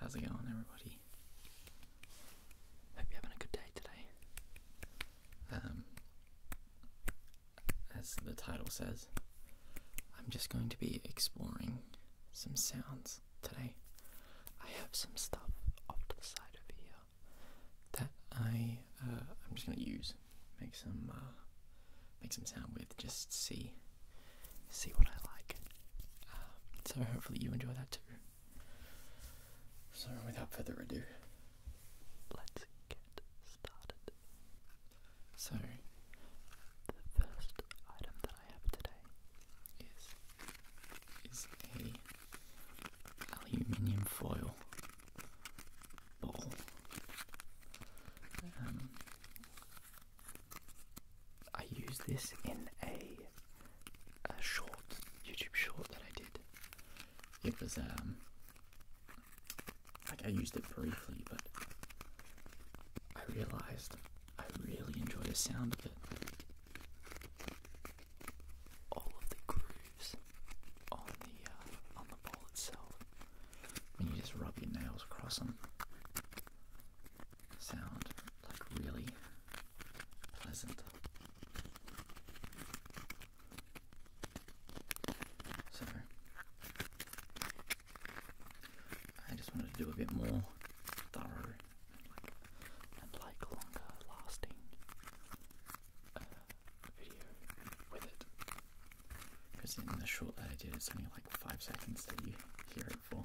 How's it going, everybody? Hope you're having a good day today. Um, as the title says, I'm just going to be exploring some sounds today. I have some stuff off to the side over here that I uh, I'm just going to use make some uh, make some sound with. Just see see what I like. Um, so hopefully you enjoy that too. So without further ado, let's get started. So the first item that I have today is is a aluminium foil ball. Um, I used this in a, short YouTube short that I did. It was um like I used it briefly, but I realized I really enjoy the sound of it. All of the grooves on the uh, on the ball itself when you just rub your nails across them sound like really pleasant. So I just wanted to do a bit more thorough and like, longer lasting uh, because in the short that I did, it's only like five seconds that you hear it for.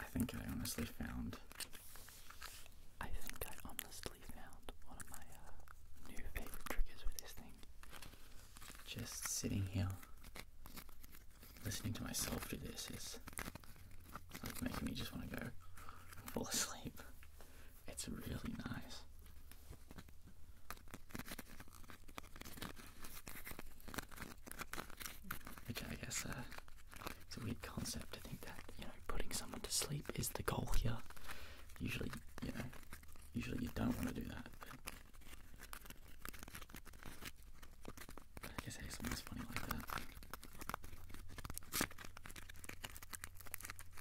I think I honestly found. I think I honestly found one of my uh, new favorite triggers with this thing. Just sitting here, listening to myself do this is like making me just want to go fall asleep. It's really nice. Okay, I guess uh, it's a weird concept to think that you know putting someone to sleep is the goal here. Usually, you know, usually you don't want to do that. But, I guess ASMR's funny like that.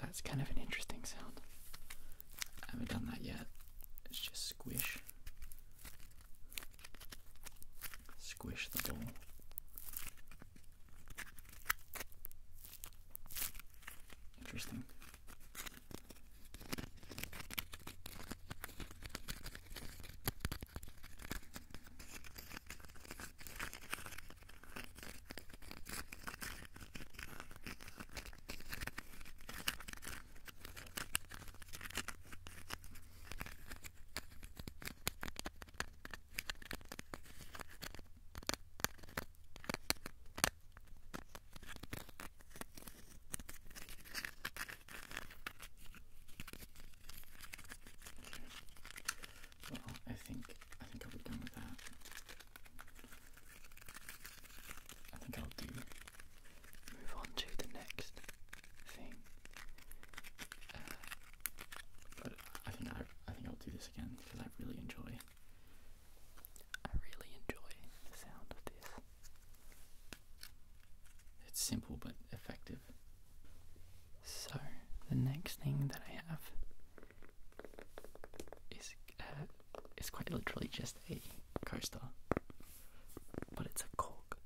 That's kind of an interesting sound. I haven't done that yet. It's just squish. Squish the ball. Interesting. Well, I think I think I'll be done with that. I think I'll do move on to the next thing. Uh, but I think I, I think I'll do this again because I really enjoy. I really enjoy the sound of this. It's simple but effective. So the next thing that I have is uh, it's quite literally just a coaster, but it's a cork,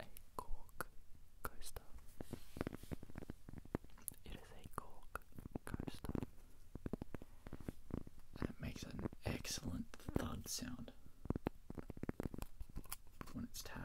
a cork coaster. It is a cork coaster, and it makes an excellent thud sound when it's tapped.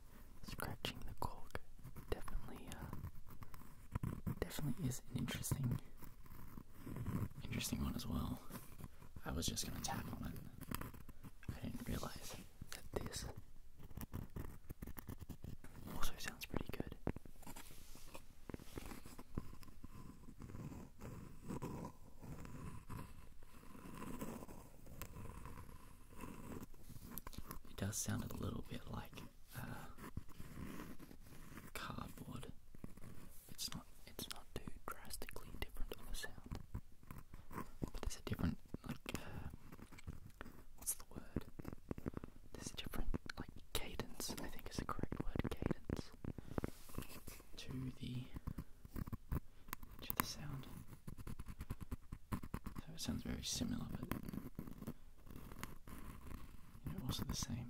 scratching the cork definitely, uh, definitely is an interesting, interesting one as well. I was just gonna tap on it. I didn't realize that this also sounds pretty good. It does sound a little bit like uh, cardboard. It's not. It's not too drastically different of a sound, but there's a different like. Uh, what's the word? There's a different like cadence. I think is the correct word. Cadence to the to the sound. So it sounds very similar, but you also the same.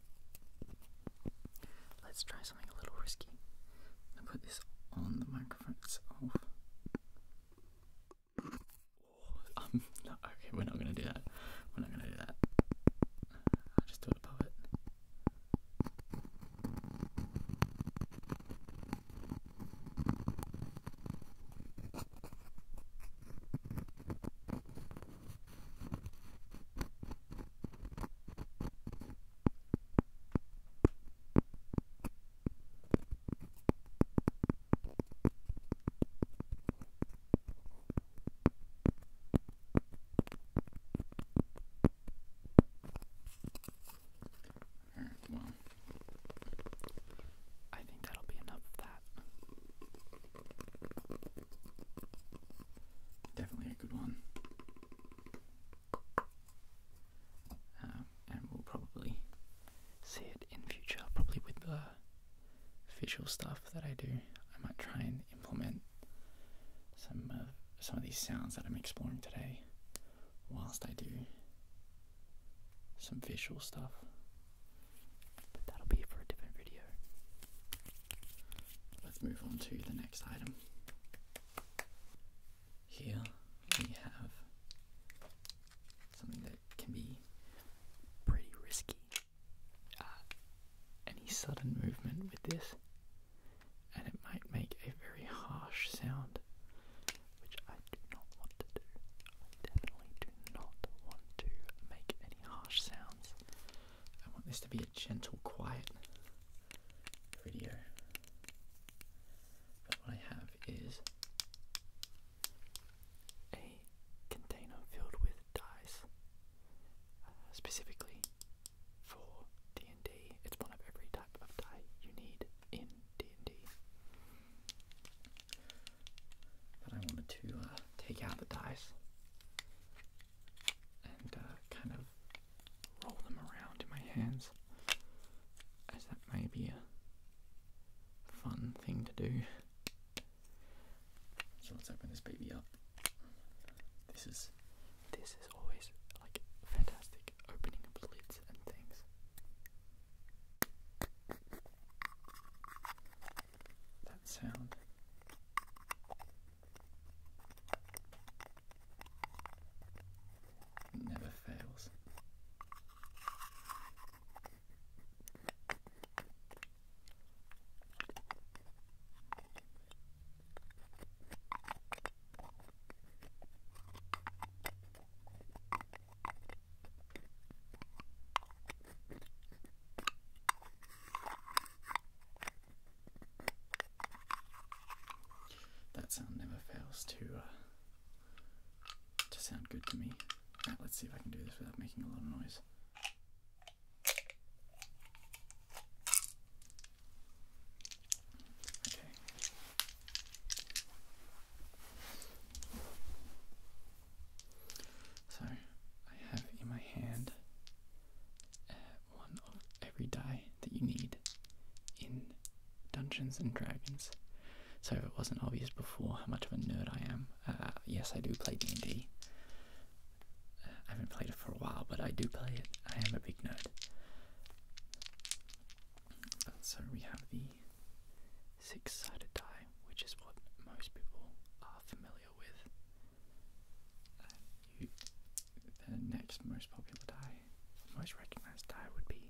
Let's try something a little risky. put this on the microphone Oh, okay, we're not gonna do that. We're not gonna do that. I'll just do it above it. All right, well, I think that'll be enough of that. Definitely a good one. Um, and we'll probably see it in future, probably with the visual stuff that I do. I might try and implement some some of these sounds that I'm exploring today, whilst I do some visual stuff. But that'll be for a different video. Let's move on to the next item. Here we have something that can be pretty risky. Uh, any sudden movement with this, and it might make a very harsh sound, which I do not want to do. I definitely do not want to make any harsh sounds I want this to be a gentle, quiet video. But what I have is a container filled with dice, uh, specifically for D&D. It's one of every type of die you need in D&D. But I wanted to uh, take out the dice and uh, kind of roll them around in my hands, as that may be a fun thing to do. So let's open this baby up. This is this is always like fantastic opening up lids and things that sound. It never fails. That sound never fails to uh, to sound good to me. let's see if I can do this without making a lot of noise. Okay. So I have in my hand uh, one of every die that you need in Dungeons and Dragons. So if it wasn't obvious before how much of a nerd I am, uh, yes I do play D&D. Uh, I haven't played it for a while, but I do play it. I am a big nerd. So we have the six-sided die, which is what most people are familiar with. Uh, the next most popular die, most recognized die would be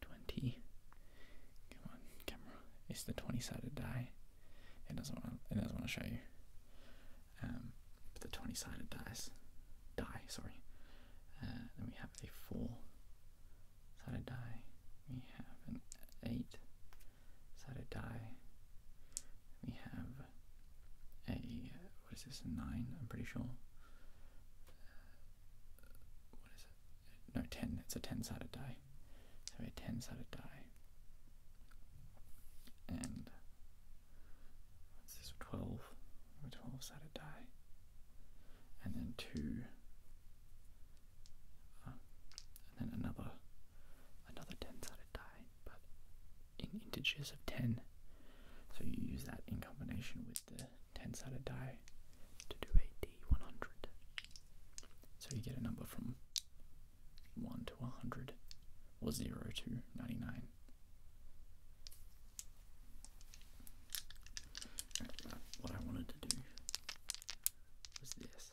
the 20. Come on, camera. It's the 20-sided die. It doesn't want to. It doesn't want to show you. Um, the 20-sided dice, die. Sorry. Uh, then we have a four-sided die. We have an eight sided die. We have a, what is this, 9, I'm pretty sure. what is it? No, 10. It's a 10 sided die. So we have a 10 sided die. And what's this, 12? A 12 sided die. And then two uh, and then another another 10-sided die, but in integers of 10. So you use that in combination with the 10-sided die to do a d100. So you get a number from 1 to 100 or 0 to 99. What I wanted to do was this.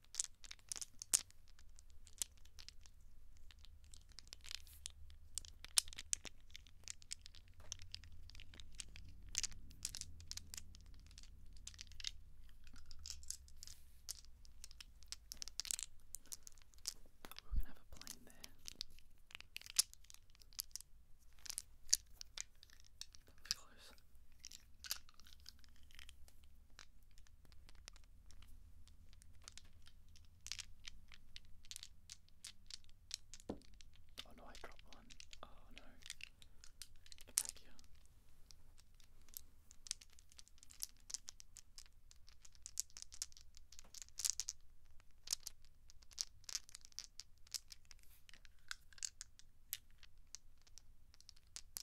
We're gonna have a plane there. Close. Oh no, I dropped one. Oh no. Get back here.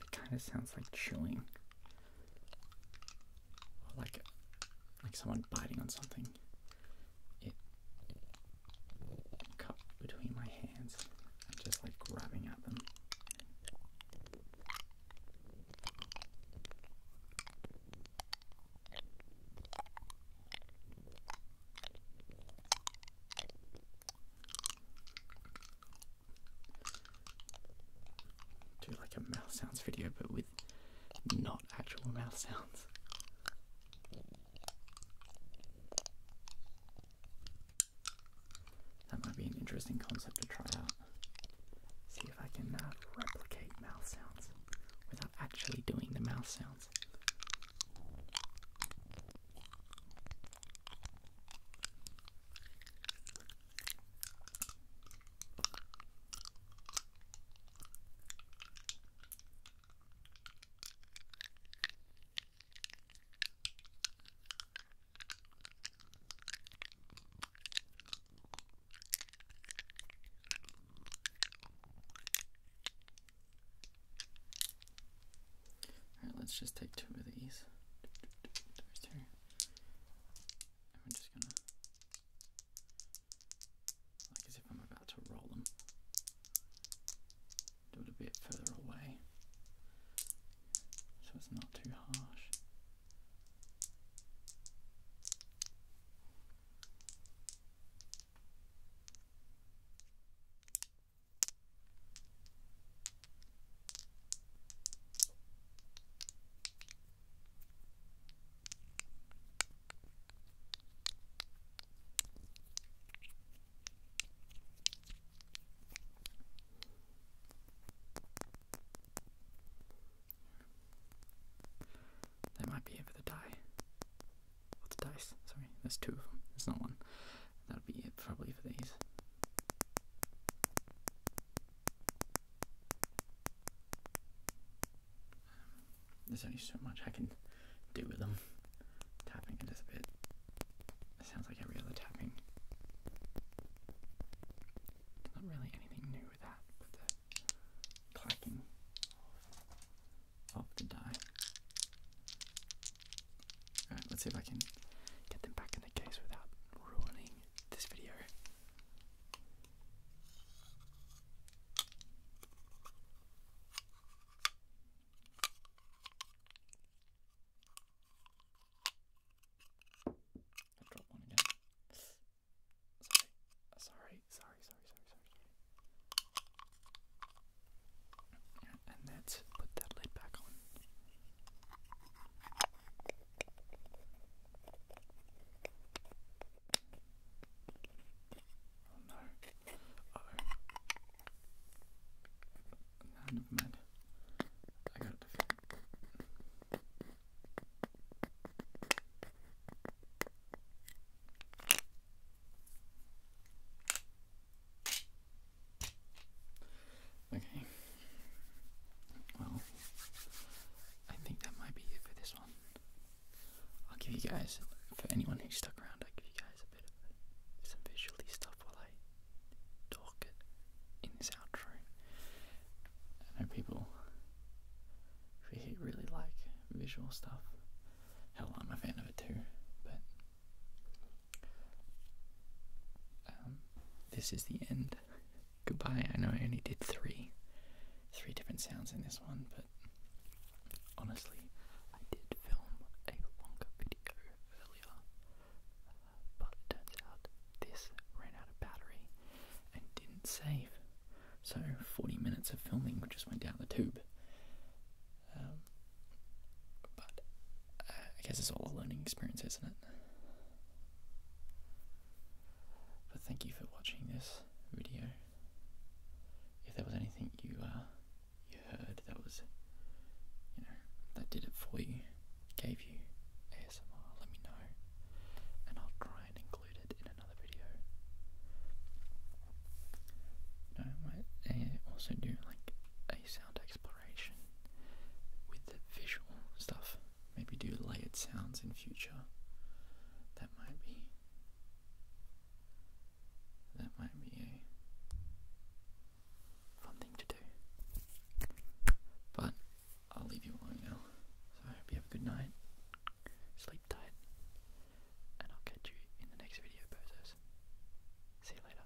It kind of sounds like chewing. like like someone biting on something. It cut between my hands just like grabbing at them. Do like a mouth sounds video, but with not actual mouth sounds. That might be an interesting concept to try out. See if I can uh, replicate mouth sounds without actually doing the mouth sounds. All right, let's just take two of these. And we just gonna, like as if I'm about to roll them, do it a bit further away so it's not too harsh. That might be it for the die. What's the dice? Sorry, there's two of them. There's not one. that would be it probably for these. There's only so much I can do with them. Tapping it is a bit. It sounds like every other tapping. Not really anything new with that, clacking of the die. Alright, let's see if I can get them back in the case without ruining this video. I dropped one again. Sorry, sorry, sorry, sorry, sorry, sorry. And let's put that lid back on. Oh no. Uh oh. No, never mind. I got it to fit. Okay. Well, I think that might be it for this one. I'll give you guys, for anyone who stuck around, I'll give you guys a bit of some visually stuff while I talk in this outro. I know people really, like visual stuff. Hell, I'm a fan of it too, but um, this is the end. Goodbye. I know I only did three, three different sounds in this one, but honestly, I did film a longer video earlier, uh, but it turns out this ran out of battery and didn't save. So 40 minutes of filming just went down the tube. Um, but uh, I guess it's all a learning experience, isn't it? But thank you for watching this video. If there was anything you uh, you heard that was, you know, that did it for you, gave you ASMR, let me know, and I'll try and include it in another video. No, I might eh, also do like a sound exploration with the visual stuff. Maybe do layered sounds in future. That might be. That might be a fun thing to do. But I'll leave you alone now. So I hope you have a good night. Sleep tight. And I'll catch you in the next video, posers. See you later.